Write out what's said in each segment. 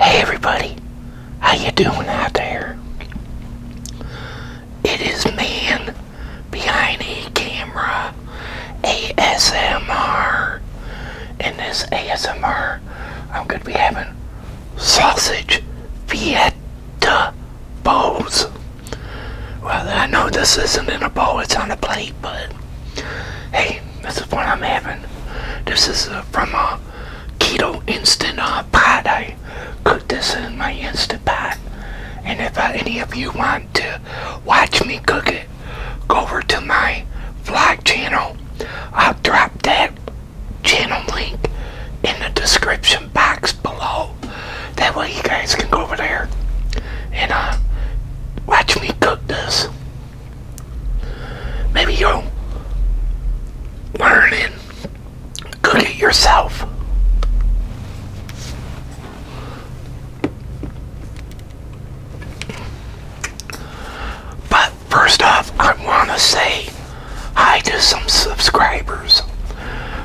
Hey everybody, how you doing out there? It is man behind a camera ASMR. In this ASMR, I'm gonna be having sausage Vieta bowls. Well, I know this isn't in a bowl, it's on a plate, but hey, this is what I'm having. This is uh, from a uh, keto instant uh, pot. I cooked this in my instant pot. And if any of you want to watch me cook it, go over to my vlog channel. I'll drop that channel link in the description box below. That way you guys can go over there and watch me cook this. Maybe you'll learn and cook it yourself. But first off, I want to say hi to some subscribers.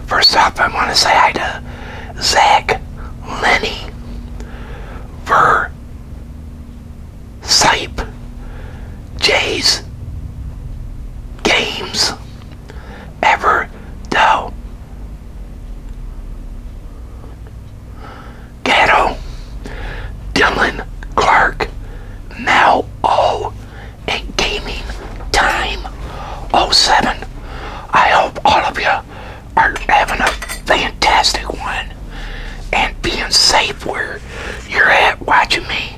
First off, I want to say hi to Zach Lenny, Ver Sipe, Jays, Games, Ever Doe, Ghetto, Dylan Clark, Now, Oh, and Gaming Time 07. I hope all of you are having a fantastic one and being safe where you're at watching me.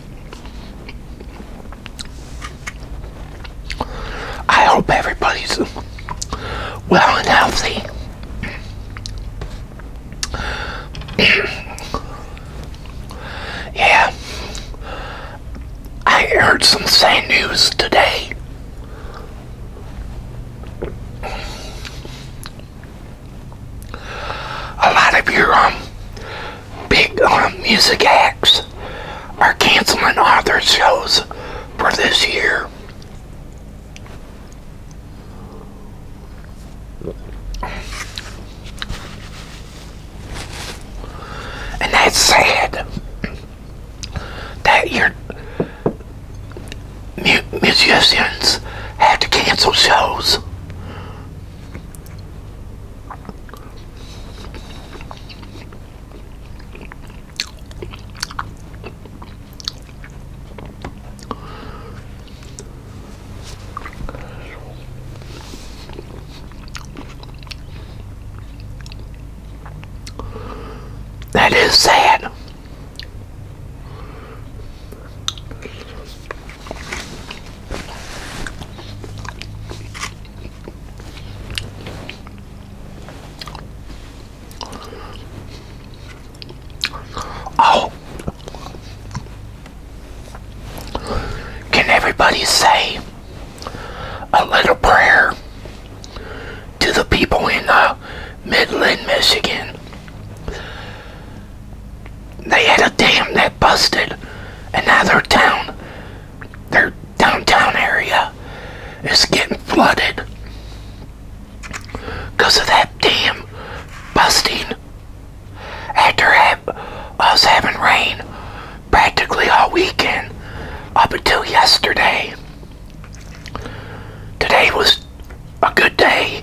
I hope everybody's well and healthy. yeah, I heard some sad news today a lot of your um, big um, music acts are canceling other shows for this year. And that's sad that your musicians have to cancel shows that is sad. Oh, can everybody say a little prayer to the people in uh, Midland, Michigan? they had a dam that busted, and now their town, their downtown area, is getting flooded because of that dam busting. After ha us having rain practically all weekend up until yesterday, today was a good day.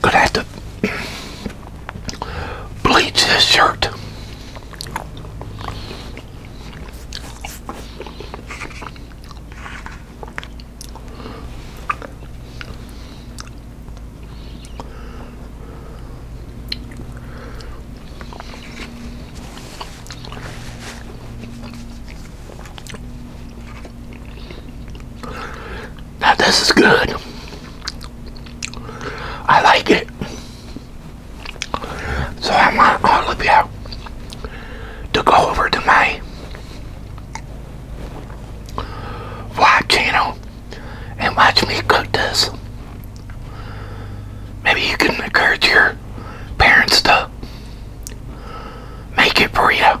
Gonna have to bleach this shirt. Now this is good. I like it. So I want all of you to go over to my vlog channel and watch me cook this. Maybe you can encourage your parents to make it burrito.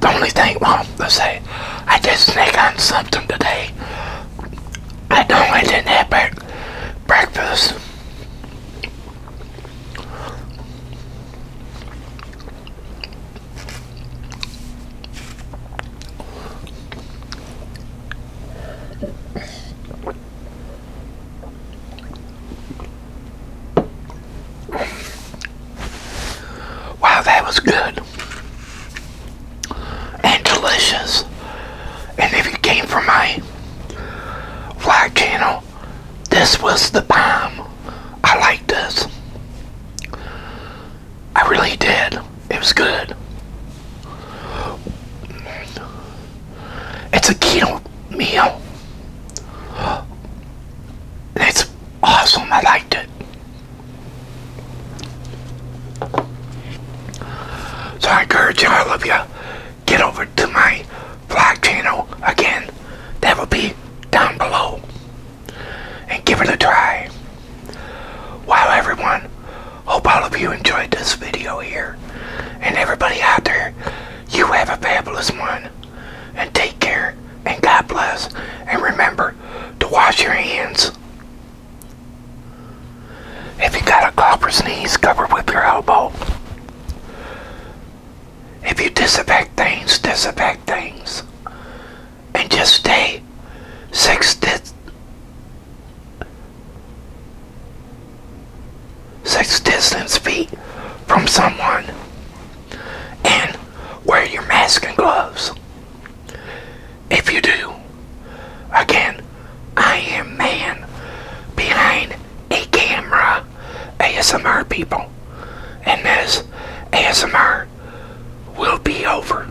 The only thing, well, let's say, I did sneak on something today. I don't didn't have bre breakfast. Wow, that was good and delicious. And if you came from my vlog channel, this was the bomb. I liked this. I really did. It was good. It's a keto meal. It's awesome. I liked it. So I encourage you. all of you get over to my vlog channel again. That will be down below. And give it a try. Wow, everyone. Hope all of you enjoyed this video here. And everybody out there, you have a fabulous one. And take care. And God bless. And remember to wash your hands. If you got a cough or sneeze, cover with your elbow. If you disinfect things, disinfect things. And just stay six, feet six distance feet from someone and wear your mask and gloves if you do again i am man behind a camera asmr people and this asmr will be over